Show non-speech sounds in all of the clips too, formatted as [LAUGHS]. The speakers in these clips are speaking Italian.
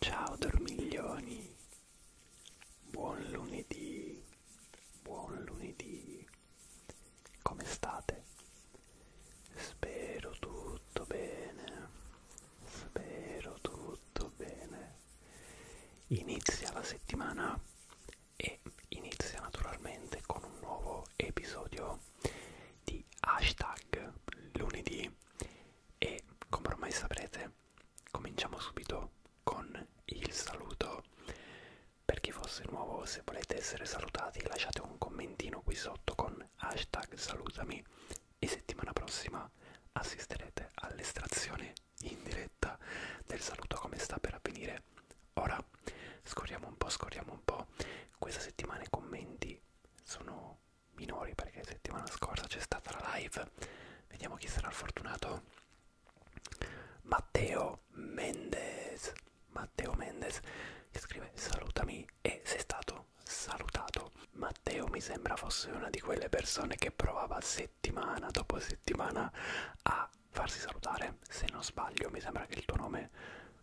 Ciao dormiglioni, buon lunedì, buon lunedì, come state? Spero tutto bene, spero tutto bene. Inizia la settimana e inizia naturalmente con un nuovo episodio di hashtag lunedì e come ormai saprete cominciamo subito con il saluto per chi fosse nuovo se volete essere salutati lasciate un commentino qui sotto con hashtag salutami e settimana prossima assisterete all'estrazione in diretta del saluto come sta per avvenire bene. Ora scorriamo un po', scorriamo un po'. Questa settimana i commenti sono minori perché settimana scorsa c'è stata la live. Vediamo chi sarà il fortunato. Matteo Mendez. Matteo Mendez che scrive salutami e sei stato salutato. Matteo mi sembra fosse una di quelle persone che provava settimana dopo settimana a farsi salutare, se non sbaglio mi sembra che il tuo nome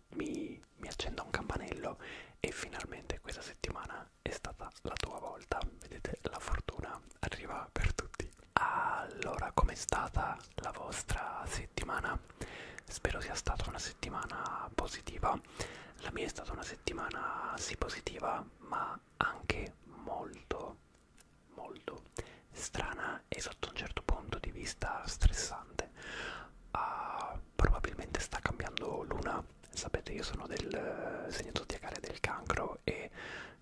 mi, mi accenda un campanello e finalmente questa settimana è stata la tua volta, vedete la fortuna arriva per tutti. Allora, com'è stata la vostra settimana? Spero sia stata una settimana positiva. La mia è stata una settimana sì positiva, ma anche molto molto strana e sotto un certo punto di vista stressante. Uh, probabilmente sta cambiando luna. Sapete, io sono del segno zodiacale del cancro e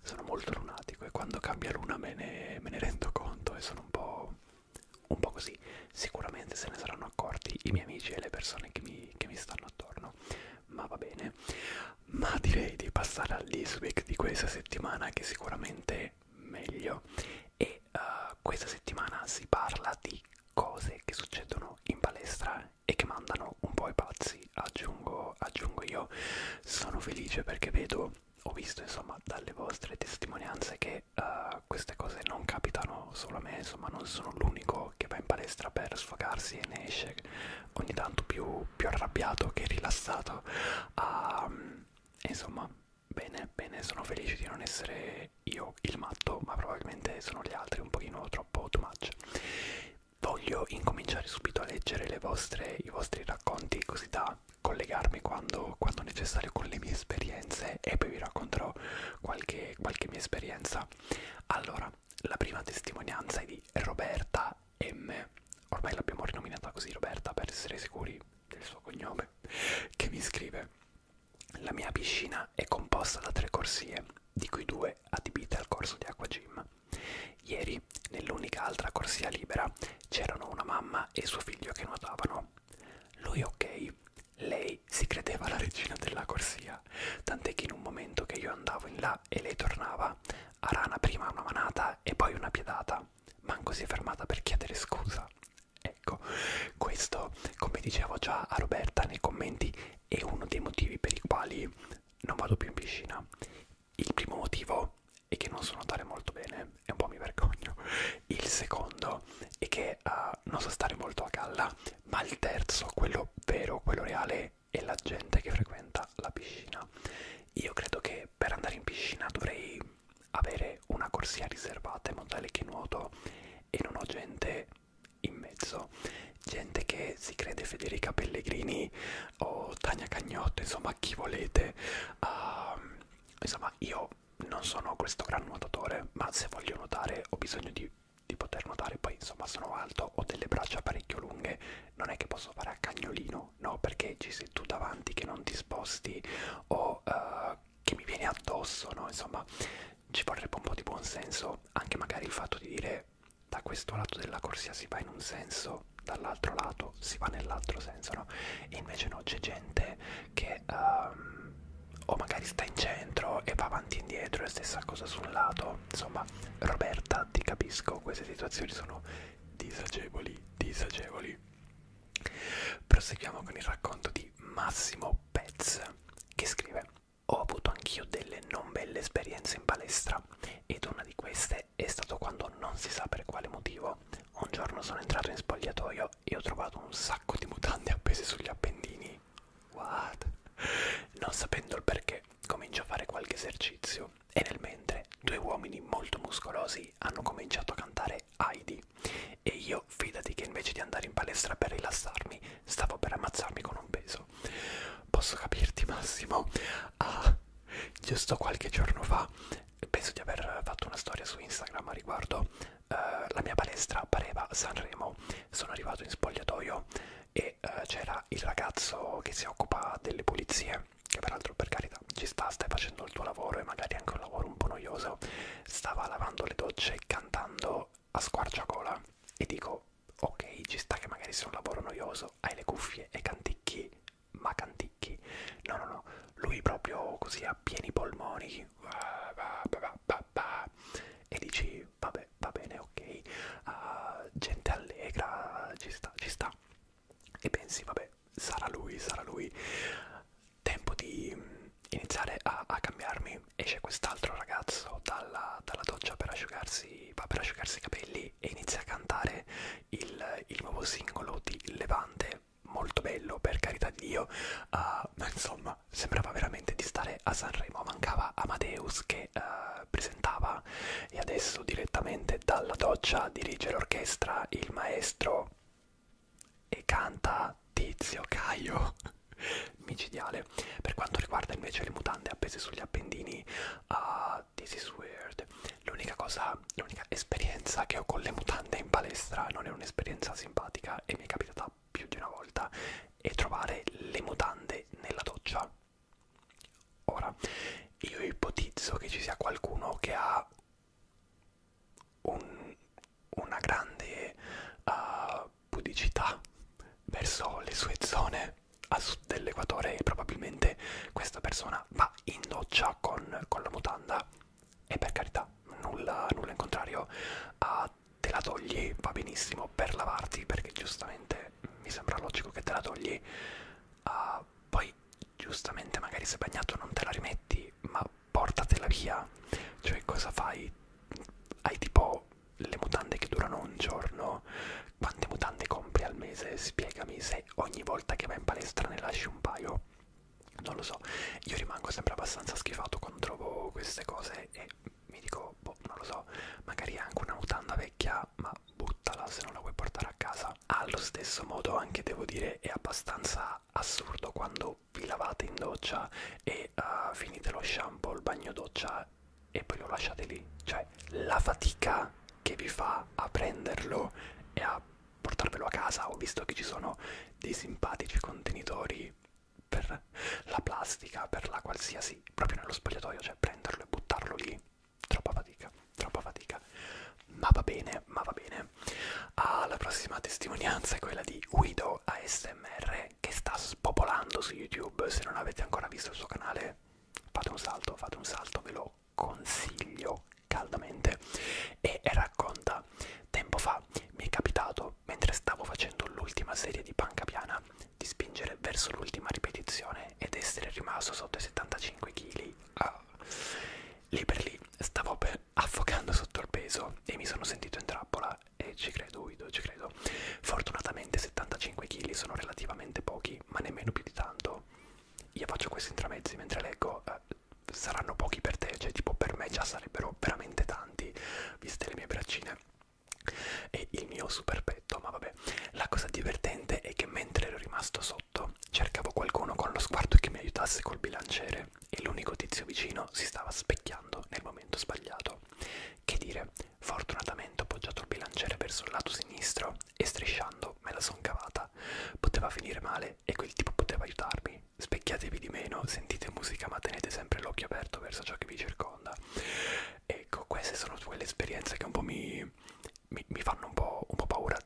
sono molto lunatico e quando cambia luna me ne, me ne rendo conto e sono un po', un po' così. Sicuramente se ne saranno accorti i miei amici e le persone che mi, che mi stanno attorno, ma va bene. Ma direi di passare all'Eastwick di questa settimana che sicuramente meglio e uh, questa settimana si parla di cose che succedono in palestra e che mandano un po' i pazzi, aggiungo, aggiungo io, sono felice perché vedo, ho visto insomma dalle vostre testimonianze che uh, queste cose non capitano solo a me, insomma non sono l'unico che va in palestra per sfogarsi e ne esce ogni tanto più, più arrabbiato che rilassato, uh, insomma Bene, bene, sono felice di non essere io il matto, ma probabilmente sono gli altri un pochino troppo too much. Voglio incominciare subito a leggere le vostre, i vostri racconti così da collegarmi quando, quando necessario con le mie esperienze e poi vi racconterò qualche, qualche mia esperienza. Allora, la prima testimonianza è di Roberta M ormai l'abbiamo rinominata così Roberta per essere sicuri del suo cognome, che mi scrive La mia piscina è composta da tre corsie, di cui due adibite al corso di acqua gym. Ieri, nell'unica altra corsia libera, c'erano una mamma e suo figlio che nuotavano. Lui ok, lei si credeva la regina della corsia, tant'è che in un momento che io andavo in là e lei tornava, a rana prima una manata e poi una piedata manco si è fermata per chiedere scusa. Ecco, questo, come dicevo già a Roberta nei commenti, è uno dei motivi per i quali non vado più in piscina. Il primo motivo è che non so nuotare molto bene, e un po' mi vergogno. Il secondo è che uh, non so stare molto a galla, ma il terzo, quello vero, quello reale, è la gente che frequenta la piscina. Io credo che per andare in piscina dovrei avere una corsia riservata in modo tale che nuoto e non ho gente in mezzo, gente che si crede Federica Pellegrini o Tania Cagnotto, insomma chi volete. Uh, insomma, io non sono questo gran nuotatore, ma se voglio nuotare ho bisogno di, di poter nuotare, poi insomma sono alto, ho delle braccia parecchio lunghe, non è che posso fare a cagnolino no, no, perché ci sei tu davanti che non ti sposti o uh, che mi vieni addosso, no? Insomma, ci vorrebbe un po' di buonsenso, anche magari il fatto di dire da questo lato della corsia si va in un senso, dall'altro lato si va nell'altro senso, no? E invece no, c'è gente che um, o magari sta in centro e va avanti e indietro, e stessa cosa su un lato. Insomma, Roberta, ti capisco, queste situazioni sono disagevoli, disagevoli. Proseguiamo con il racconto di Massimo Pez che scrive ho avuto anch'io delle non belle esperienze in palestra ed una di queste è stato quando non si sa per quale motivo un giorno sono entrato in spogliatoio e ho trovato un sacco di mutande appese sugli appendini. What? Non sapendo il perché, comincio a fare qualche esercizio e nel mentre due uomini molto muscolosi hanno cominciato a cantare Heidi e io fidati che invece di andare in palestra per rilassarmi stavo per ammazzarmi con un peso posso capirti Massimo ah giusto qualche giorno fa penso di aver fatto una storia su Instagram a riguardo uh, la mia palestra pareva Sanremo sono arrivato in spogliatoio e uh, c'era il ragazzo che si occupa delle pulizie che peraltro per carità ci sta, stai facendo il tuo lavoro e magari anche un lavoro un po' noioso, stava lavando le docce cantando a squarciagola e dico ok ci sta che magari sia un lavoro noioso, hai le cuffie e canticchi, ma canticchi, no no no, lui proprio così a pieni polmoni e dici vabbè va bene ok, uh, gente allegra, ci sta, ci sta e pensi vabbè sarà lui sarà lui tempo di iniziare a, a cambiarmi esce quest'altro ragazzo dalla, dalla doccia per asciugarsi, per asciugarsi i capelli e inizia a cantare il, il nuovo singolo di Levante molto bello per carità di Dio uh, ma insomma sembrava veramente di stare a Sanremo mancava Amadeus che uh, presentava e adesso direttamente dalla doccia dirige l'orchestra il maestro e canta Tizio Caio [LAUGHS] micidiale per quanto riguarda invece le mutande appese sugli appendini uh, this is weird l'unica cosa l'unica esperienza che ho con le mutande in palestra non è un'esperienza simpatica e mi è capitata più di una volta è trovare le mutande nella doccia ora io ipotizzo che ci sia qualcuno che ha un, una grande uh, eh, pudicità verso le sue zone a sud dell'equatore e probabilmente questa persona va in doccia con, con la mutanda e per carità nulla, nulla in contrario uh, te la togli va benissimo per lavarti perché giustamente mi sembra logico che te la togli uh, poi giustamente magari se bagnato non te la rimetti, ma portatela via. Cioè cosa fai? Hai tipo le mutande che durano un giorno? Quante mutande compri al mese? Spiegami se ogni volta che vai in palestra ne lasci un paio. Non lo so, io rimango sempre abbastanza schifato quando trovo queste cose e mi dico, boh, non lo so, magari è anche una mutanda vecchia, ma buttala se non la vuoi portare a casa. Allo stesso modo anche devo dire è abbastanza assurdo quando vi lavate in doccia e uh, finite lo shampoo, il bagno doccia e poi lo lasciate lì. Cioè la fatica che vi fa a prenderlo e a portarvelo a casa. Ho visto che ci sono dei simpatici contenitori per la plastica, per la qualsiasi, proprio nello spogliatoio, cioè prenderlo e buttarlo lì. Troppa fatica troppa fatica. Ma va bene, ma va bene. Ah, la prossima testimonianza è quella di Guido ASMR che sta spopolando su YouTube. Se non avete ancora visto il suo canale, fate un salto, fate un salto, ve lo consiglio caldamente. E racconta: Tempo fa mi è capitato, mentre stavo facendo l'ultima serie di panca piana, di spingere verso l'ultima ripetizione ed essere rimasto sotto i 75 kg. Ah lì per lì stavo per affogando sotto il peso e mi sono sentito in trappola e ci credo Guido, ci credo. Fortunatamente 75 kg sono relativamente pochi, ma nemmeno più di tanto. Io faccio questi intramezzi mentre leggo, eh, saranno pochi per te, cioè tipo per me già sarebbero veramente tanti, viste le mie braccine e il mio super petto, ma vabbè. La cosa divertente è che mentre ero rimasto sotto sotto, cercavo qualcuno con lo sguardo che mi aiutasse col bilanciere e l'unico tizio vicino si stava specchiando nel momento sbagliato. Che dire, fortunatamente ho appoggiato il bilanciere verso il lato sinistro e strisciando me la son cavata. Poteva finire male e quel tipo poteva aiutarmi. Specchiatevi di meno, sentite musica ma tenete sempre l'occhio aperto verso ciò che vi circonda. Ecco, queste sono quelle esperienze che un po' mi, mi, mi fanno un po', un po' paura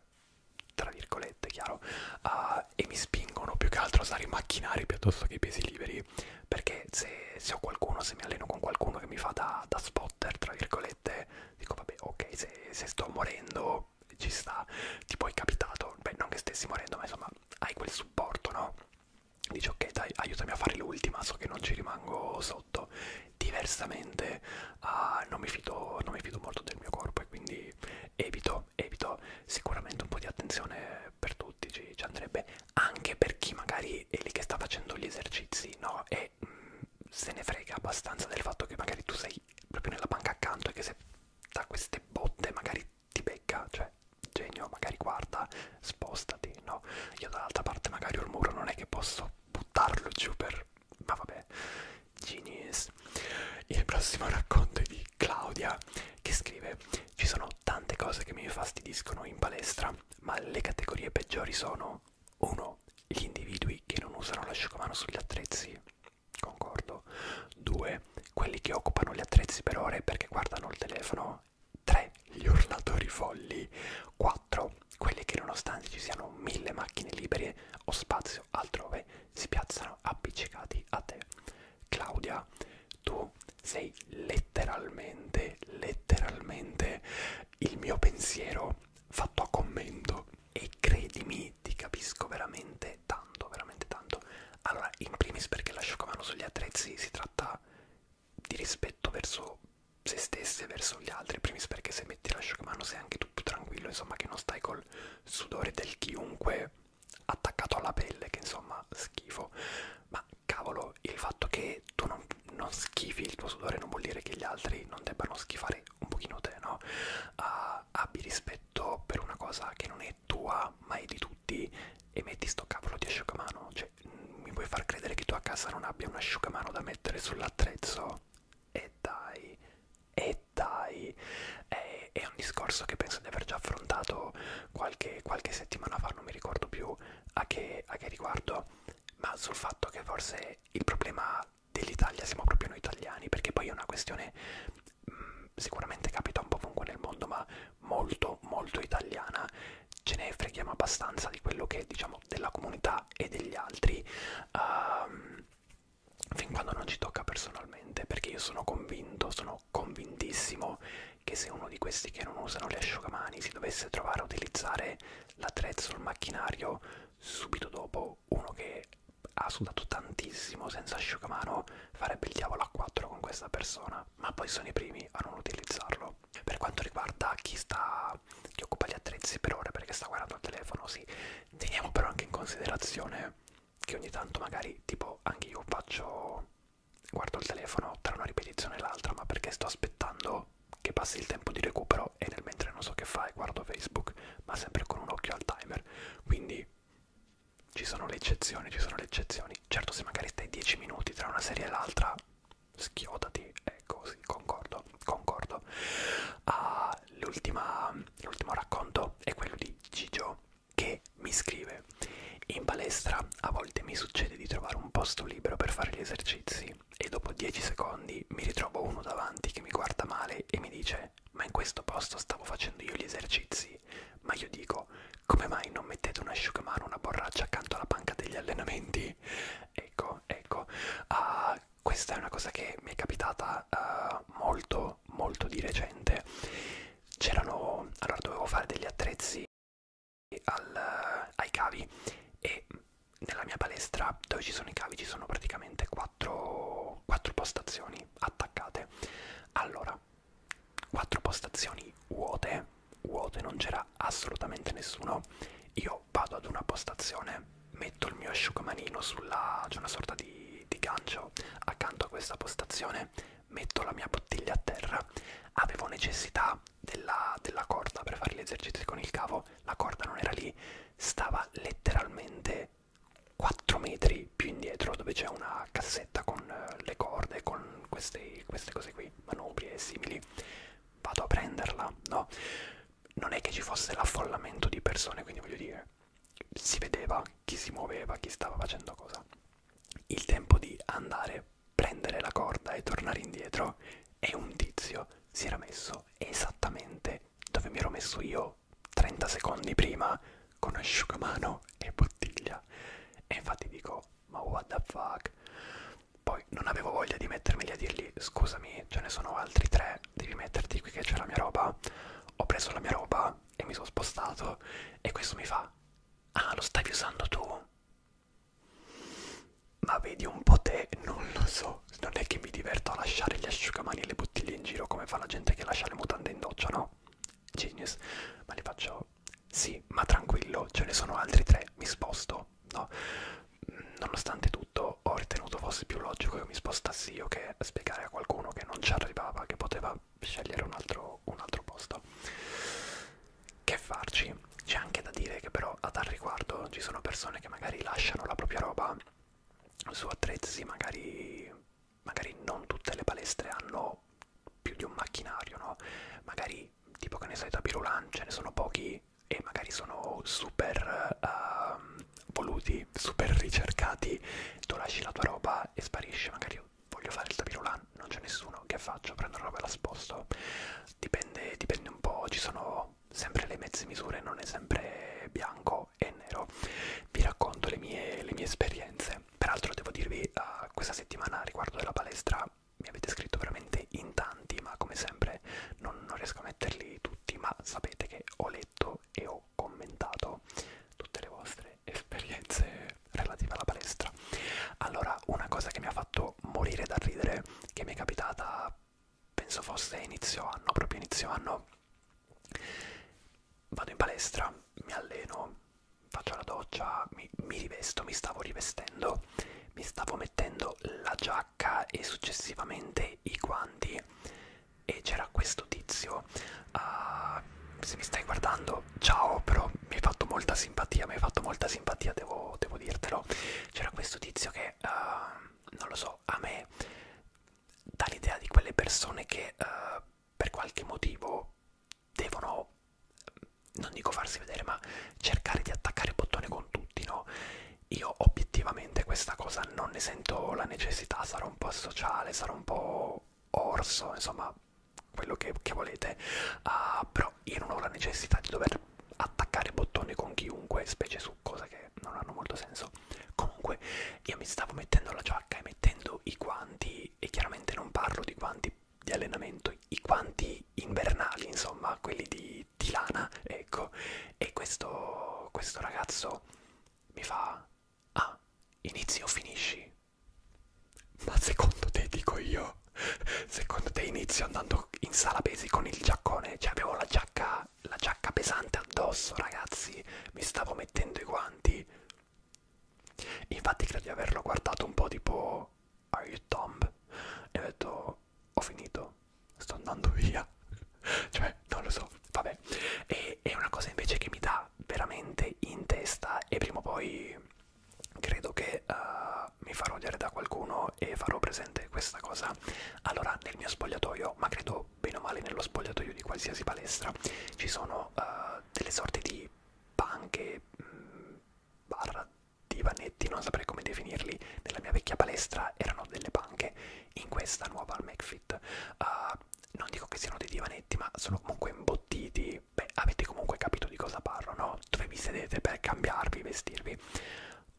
tra virgolette, chiaro, uh, e mi spingono più che altro a usare i macchinari piuttosto che i pesi liberi, perché se, se ho qualcuno, se mi alleno con qualcuno che mi fa da, da spotter, tra virgolette, dico vabbè, ok, se, se sto morendo ci sta, tipo è capitato, beh non che stessi morendo, ma insomma hai quel supporto, no? Dici ok dai, aiutami a fare l'ultima, so che non ci rimango sotto. Diversamente uh, non, mi fido, non mi fido molto del mio corpo e quindi evito, evito sicuramente un po' di attenzione per tutti ci, ci andrebbe anche per chi magari è lì che sta facendo gli esercizi no e mh, mm, se ne frega abbastanza del fatto che magari tu sei proprio nella banca accanto e che se da queste botte magari ti becca cioè genio magari guarda spostati no io dall'altra parte magari ho il muro non è che posso buttarlo giù per ma vabbè Genius. Il prossimo racconto è di Claudia che scrive: Ci sono tante cose che mi fastidiscono in palestra, ma le categorie peggiori sono 1. Gli individui che non usano l'asciugamano sugli attrezzi, concordo. 2. Quelli che occupano gli attrezzi per ore perché guardano il telefono. 3. Gli urlatori folli. 4. Quelli che nonostante ci siano mille macchine libere o spazio altrove si piazzano appiccicati a te. Claudia, tu sei letteralmente, letteralmente il mio pensiero fatto a commento e credimi, ti capisco veramente tanto, veramente tanto. Allora, in primis perché l'asciugamano sugli attrezzi si tratta di rispetto verso se stesse verso gli altri, primis perché se metti l'asciugamano sei anche tu più tranquillo, insomma che non stai col sudore del chiunque attaccato alla pelle, che insomma schifo. Ma cavolo, il fatto che tu non, non schifi il tuo sudore non vuol dire che gli altri non debbano schifare un pochino te, no? Uh, abbi rispetto per una cosa che non è tua, ma è di tutti e metti sto cavolo di asciugamano. Cioè, mi puoi far credere che tu a casa non abbia un asciugamano da mettere sull'attrezzo? E dai, e dai, è, è un discorso che penso di aver già affrontato qualche, qualche settimana fa, non mi ricordo più a che, a che riguardo, ma sul fatto che forse il problema dell'Italia siamo proprio noi italiani, perché poi è una questione mh, mm, sicuramente capita un po' ovunque nel mondo, ma molto molto italiana, ce ne freghiamo abbastanza di quello che diciamo della comunità e degli altri. Um, fin quando non ci tocca personalmente, perché io sono convinto, sono convintissimo che se uno di questi che non usano le asciugamani si dovesse trovare a utilizzare l'attrezzo, il macchinario, subito dopo uno che ha sudato tantissimo senza asciugamano farebbe il diavolo a 4 con questa persona, ma poi sono i primi a non utilizzarlo. Per quanto riguarda chi sta, chi occupa gli attrezzi per ora perché sta guardando il telefono, sì, Teniamo però anche in considerazione che ogni tanto magari tipo anche io faccio guardo il telefono tra una ripetizione e l'altra, ma perché sto aspettando che passi il tempo di recupero e nel mentre non so che fai guardo Facebook, ma sempre con un occhio al timer. Quindi ci sono le eccezioni, ci sono le eccezioni. Certo se magari stai 10 minuti tra una serie e l'altà schiodati, ecco sì, concordo, concordo. Ah, l'ultimo racconto è quello di Gigio che mi scrive in palestra a volte mi succede di trovare un posto libero per fare gli esercizi e dopo 10 secondi mi ritrovo uno davanti che mi guarda male e mi dice ma in questo posto stavo facendo io gli esercizi ma io dico come mai non mettete un asciugamano una borraccia accanto alla panca degli allenamenti ecco ecco ah, questa è una cosa che mi è capitata uh, molto molto di recente c'erano allora dovevo fare degli attrezzi al, uh, ai cavi e nella mia palestra dove ci sono i cavi ci sono praticamente quattro, quattro postazioni attaccate allora quattro postazioni vuote vuote non c'era assolutamente nessuno io vado ad una postazione metto il mio asciugamanino sulla c'è una sorta di, di gancio accanto a questa postazione metto la mia bottiglia a terra avevo necessità della, della corda per fare gli esercizi con il cavo la corda non era lì stava letteralmente 4 metri più indietro dove c'è una cassetta con eh, le corde con queste, queste cose qui manubri e simili vado a prenderla no non è che ci fosse l'affollamento di persone quindi voglio dire si vedeva chi si muoveva, chi stava facendo cosa. Il tempo di andare, prendere la corda e tornare indietro e un tizio si era messo esattamente dove mi ero messo io 30 secondi prima con asciugamano e bottiglia. E infatti dico, ma what the fuck? Poi non avevo voglia di mettermeli a dirgli, scusami, ce ne sono altri tre, devi metterti qui che c'è la mia roba. Ho preso la mia roba e mi sono spostato e questo mi fa, ah lo stavi usando tu? Ma vedi un po' te, non lo so, non è che mi diverto a lasciare gli asciugamani e le bottiglie in giro come fa la gente che lascia le mutande in doccia, no? Genius, ma li faccio, sì, ma tranquillo, ce ne sono altri tre, mi sposto, no? Nonostante tutto ho ritenuto fosse più logico che mi spostassi io che spiegare a qualcuno che non ci arrivava, che poteva scegliere un altro, un altro posto. Che farci? C'è anche da dire che però a tal riguardo ci sono persone che magari lasciano la propria roba su attrezzi, magari, magari non tutte le palestre hanno più di un macchinario, no? Magari tipo che ne sai da Pirulan ce ne sono pochi e magari sono super uh, voluti, super ricercati, tu lasci la tua roba e sparisci, magari io voglio fare il tapirulan, non c'è nessuno, che faccio? Prendo la roba e la sposto, dipende, dipende un po', ci sono sempre le mezze misure, non è sempre bianco e nero, vi racconto le mie, le mie esperienze, peraltro devo dirvi uh, questa settimana riguardo della palestra mi avete scritto veramente in tanti, ma come sempre non, non riesco a metterli tutti, ma sapete che ho letto e ho ho commentato tutte le vostre esperienze relative alla palestra. Allora, una cosa che mi ha fatto morire da ridere, che mi è capitata penso fosse inizio anno, proprio inizio anno, vado in palestra, mi alleno, faccio la doccia, mi, mi rivesto, mi stavo rivestendo, mi stavo mettendo la giacca e successivamente i guanti e c'era questo tizio uh, se mi stai guardando ciao però mi hai fatto molta simpatia mi hai fatto molta simpatia devo, devo dirtelo c'era questo tizio che uh, non lo so a me dà l'idea di quelle persone che uh, per qualche motivo devono non dico farsi vedere ma cercare di attaccare il bottone con tutti no io obiettivamente questa cosa non ne sento la necessità sarò un po' sociale, sarò un po' orso, insomma, quello che, che volete, uh, però io non ho la necessità di dover attaccare bottoni con chiunque, specie su cose che non hanno molto senso. Comunque, io mi stavo mettendo la giacca e mettendo i guanti, e chiaramente non parlo di guanti di allenamento, i guanti invernali, insomma, quelli di, di lana, ecco, e questo, questo ragazzo mi fa ah inizi o finisci ma secondo te dico io secondo te inizio andando in sala pesi con il giaccone cioè avevo la giacca la giacca pesante addosso ragazzi mi stavo mettendo i guanti infatti credo di averlo guardato un po' tipo are you dumb e ho detto ho finito sto andando via [LAUGHS] cioè non lo so vabbè e, è una cosa invece che mi dà veramente in testa e prima o poi credo che uh, mi farò dire da qualcuno e farò presente questa cosa allora nel mio spogliatoio ma credo bene o male nello spogliatoio di qualsiasi palestra ci sono uh, delle sorte di panche mh, mm, barra divanetti non saprei come definirli nella mia vecchia palestra erano delle panche in questa nuova al outfit. Uh, ah, non dico che siano dei divanetti, ma sono comunque imbottiti. Beh, avete comunque capito di cosa parlo, no? Dove vi sedete per cambiarvi, vestirvi.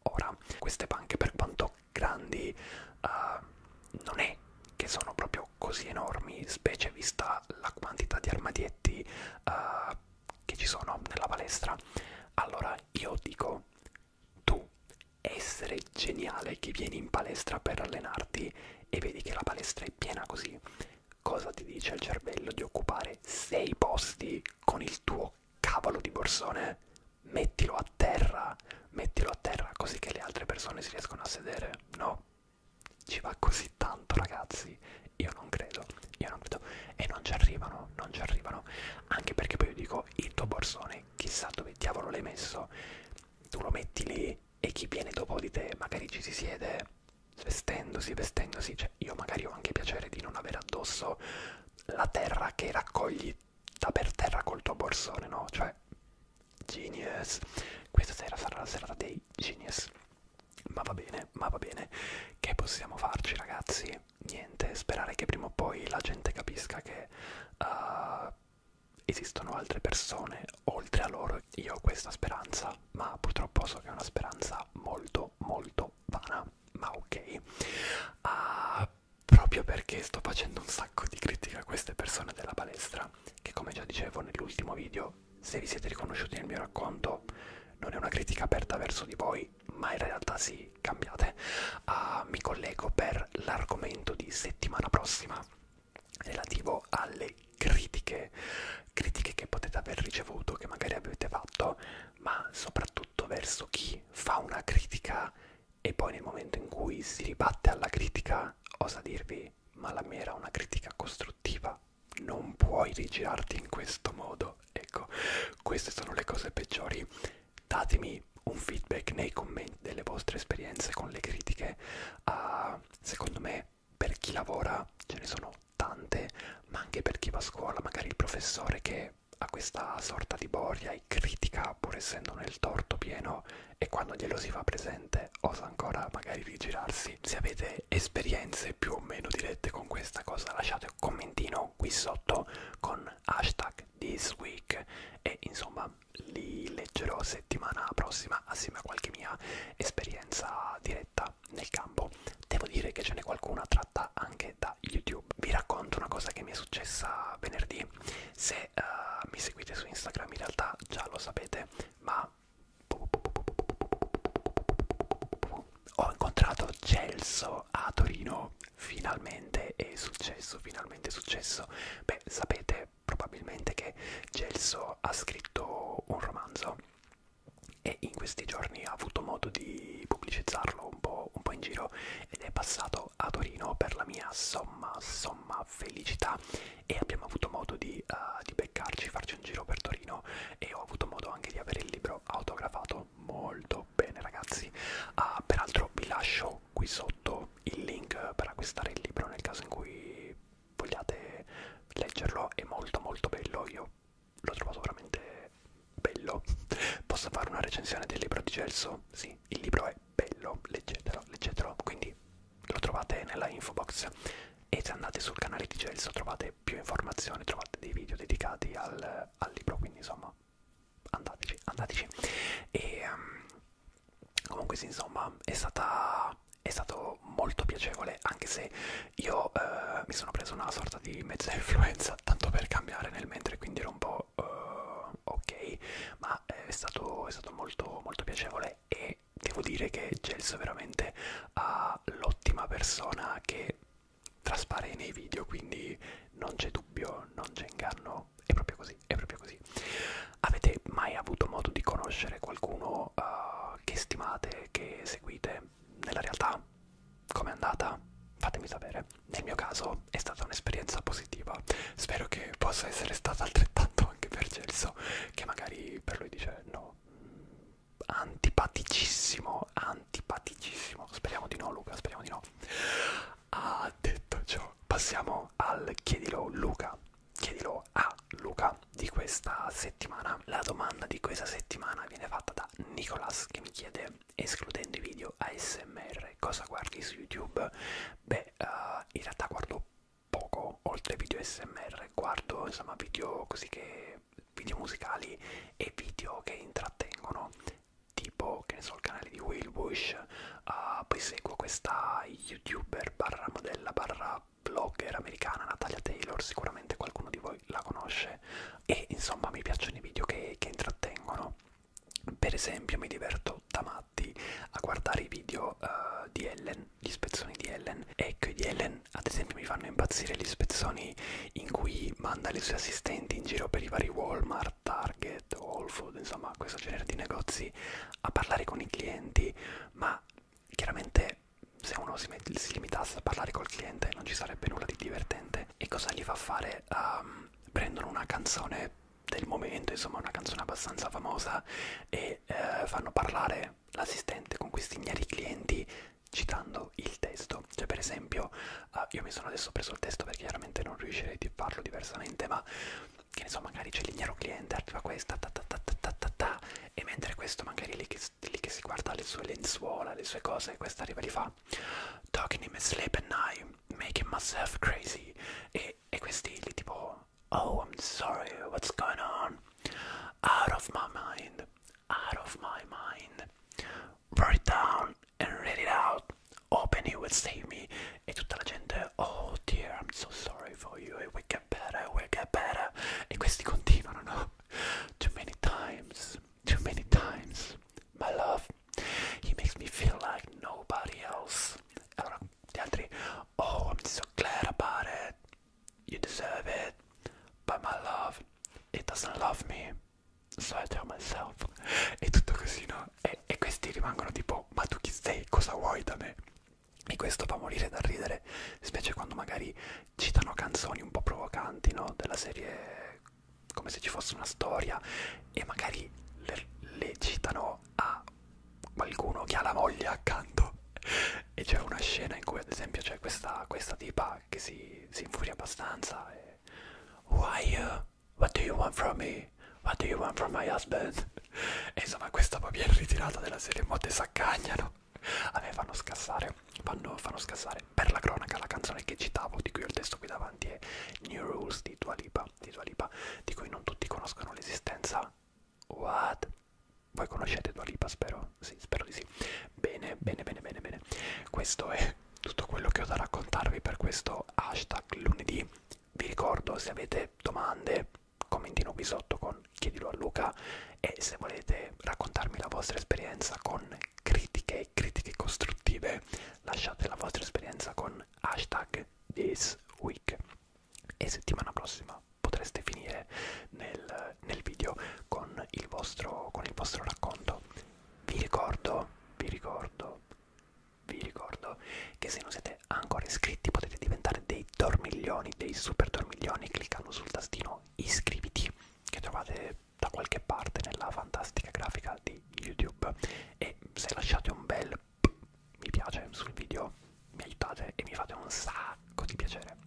Ora, queste panche, per quanto grandi, uh, non è che sono proprio così enormi, specie vista la quantità di armadietti uh, che ci sono nella palestra. Allora, io dico tu essere geniale che vieni in palestra per allenarti e vedi che la palestra è piena così, cosa ti dice il cervello di occupare sei posti con il tuo cavolo di borsone? Mettilo a terra, mettilo a terra così che le altre persone si riescono a sedere, no? Ci va così tanto ragazzi, io non credo, io non credo e non ci arrivano, non ci arrivano, anche perché poi io dico il tuo borsone chissà dove diavolo l'hai messo, tu lo metti lì e chi viene dopo di te magari ci si siede svestendosi, vestendosi, cioè io magari ho anche piacere di non avere addosso la terra che raccogli da per terra col tuo borsone, no? Cioè, genius, questa sera sarà la serata dei genius. Ma va bene, ma va bene, che possiamo farci ragazzi? Niente, sperare che prima o poi la gente capisca che uh, esistono altre persone oltre a loro. Io ho questa speranza, ma purtroppo so che è una speranza molto, molto vana. Ma ok, uh, proprio perché sto facendo un sacco di critica a queste persone della palestra, che come già dicevo nell'ultimo video, se vi siete riconosciuti nel mio racconto, non è una critica aperta verso di voi, ma in realtà sì, cambiate puntate. Uh, ah, mi collego per l'argomento di settimana prossima relativo alle critiche, critiche che potete aver ricevuto, che magari avete fatto, ma soprattutto verso chi fa una critica e poi nel momento in cui si ribatte alla critica osa dirvi ma la mia era una critica costruttiva, non puoi rigirarti in questo modo. Ecco, queste sono le cose peggiori datemi un feedback nei commenti delle vostre esperienze con le critiche uh, secondo me per chi lavora ce ne sono tante ma anche per chi va a scuola magari il professore che ha questa sorta di boria e critica pur essendo nel torto pieno e quando glielo si fa presente osa ancora magari rigirarsi se avete esperienze più o meno dirette con questa cosa lasciate un commentino qui sotto con hashtag this week e insomma li leggerò settimana prossima assieme a qualche mia esperienza diretta nel campo. Devo dire che ce n'è qualcuna tratta anche da YouTube. Vi racconto una cosa che mi è successa venerdì. Se uh, mi seguite su Instagram in realtà già lo sapete, ma ho incontrato Celso a Torino finalmente è successo, finalmente è successo. Beh, sapete probabilmente che Gelso ha scritto un romanzo e in questi giorni ha avuto modo di pubblicizzarlo un po', un po in giro ed è passato a Torino per la mia somma, somma felicità e abbiamo avuto modo di, uh, di beccarci, farci un giro per Torino e ho avuto modo anche di avere il libro autografato molto bene ragazzi. Uh, peraltro vi lascio lascerò qui sotto il link per acquistare il libro nel caso in cui vogliate leggerlo, è molto molto bello, io l'ho trovato veramente bello. Posso fare una recensione del libro di Gelso? Sì, il libro è bello, leggetelo, leggetelo, quindi lo trovate nella info box e se andate sul canale di Gelso trovate più informazioni, trovate dei video dedicati al, al libro, quindi insomma andateci, andateci. E um, comunque sì, insomma, è stata è stato molto piacevole anche se io eh, mi sono preso una sorta di mezza influenza tanto per cambiare nel mentre quindi ero un po' uh, ok ma eh, è stato, è stato molto molto piacevole e devo dire che Gelso veramente ha l'ottima persona che traspare nei video quindi non c'è dubbio non c'è inganno è proprio così così, è proprio così. Avete mai avuto modo di conoscere qualcuno uh, che stimate, che seguite nella realtà? Com'è andata? Fatemi sapere. Nel mio caso è stata un'esperienza positiva. Spero che possa essere stata altrettanto anche per Celso, che magari per lui dice no. Mm, antipaticissimo, antipaticissimo. Speriamo di no, Luca, speriamo di no. Ah, detto ciò, passiamo al chiedilo Luca. Chiedilo a Luca di questa settimana. La domanda di questa settimana viene fatta da Nicolas che mi chiede, escludendo i video ASMR, cosa guardi su YouTube? Beh, uh, in realtà guardo poco, oltre ai video ASMR, guardo insomma video così che video musicali e video che intrattengono tipo che ne so il canale di Will Bush uh, eh, poi seguo questa youtuber barra modella barra blogger americana Natalia Taylor sicuramente qualcuno di voi la conosce e insomma mi piacciono i video che, che intrattengono per esempio mi diverto da matti a guardare i video uh, di Ellen, gli spezzoni di Ellen ecco i di Ellen ad esempio mi fanno impazzire gli spezzoni in cui manda le sue assistenti in giro per i vari Walmart da Target o Whole Foods, insomma questo genere di negozi a parlare con i clienti, ma chiaramente se uno si, met si limitasse a parlare col cliente non ci sarebbe nulla di divertente. E cosa gli fa fare? Um, prendono una canzone del momento, insomma una canzone abbastanza famosa e eh, fanno parlare l'assistente con questi ignari clienti citando il testo. Cioè per esempio, uh, io mi sono adesso preso il testo perché chiaramente non riuscirei a farlo diversamente, ma che ne so magari c'è il mio cliente arriva questa ta, ta, ta, ta, ta, ta, e mentre questo magari lì che, lì che si guarda le sue lenzuola le sue cose questa arriva e li fa talking him sleep at night making myself crazy e, e questi lì tipo oh I'm sorry what's going on out of my mind out of my mind write it down and read it out Open, he would save me. E tutta la gente, oh dear, I'm so sorry for you, it will get better, it will get better. E questi continuano, no? Too many times, too many times. My love, he makes me feel like nobody else. Allora, gli altri, oh, I'm so glad about it. You deserve it. But my love, it doesn't love me. So I tell myself. E tutto così, no? e, e questi rimangono tipo ma tu chi sei cosa vuoi da me e questo fa morire da ridere specie quando magari citano canzoni un po' provocanti no della serie come se ci fosse una storia e magari le, le citano a qualcuno che ha la moglie accanto e c'è una scena in cui ad esempio c'è questa, questa tipa che si, si infuria abbastanza e Why you uh, What do you want from me? What do you want from my husband? E insomma questa poi viene ritirata della serie Motte s'accagnano. A me fanno scassare, fanno, fanno scassare. Per la cronaca la canzone che citavo, di cui ho il testo qui davanti, è New Rules di Dua Lipa, di, Dua Lipa, di cui non tutti conoscono l'esistenza. What? Voi conoscete Dua Lipa, spero? Sì, spero di sì. Bene, bene, bene, bene, bene. Questo è tutto quello che ho da raccontarvi per questo hashtag lunedì vi ricordo se avete domande commentino qui sotto con chiedilo a Luca e se volete raccontarmi la vostra esperienza con critiche e critiche costruttive lasciate la vostra esperienza con hashtag this week e settimana prossima potreste finire nel, nel video con il, vostro, con il vostro racconto vi ricordo vi ricordo vi ricordo che se non siete ancora iscritti potete diventare dei dormiglioni, dei super dormiglioni cliccando sul tastino iscriviti che trovate da qualche parte nella fantastica grafica di YouTube e se lasciate un bel mi piace sul video mi aiutate e mi fate un sacco di piacere.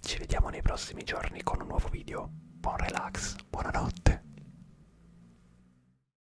Ci vediamo nei prossimi giorni con un nuovo video. Buon relax, buonanotte.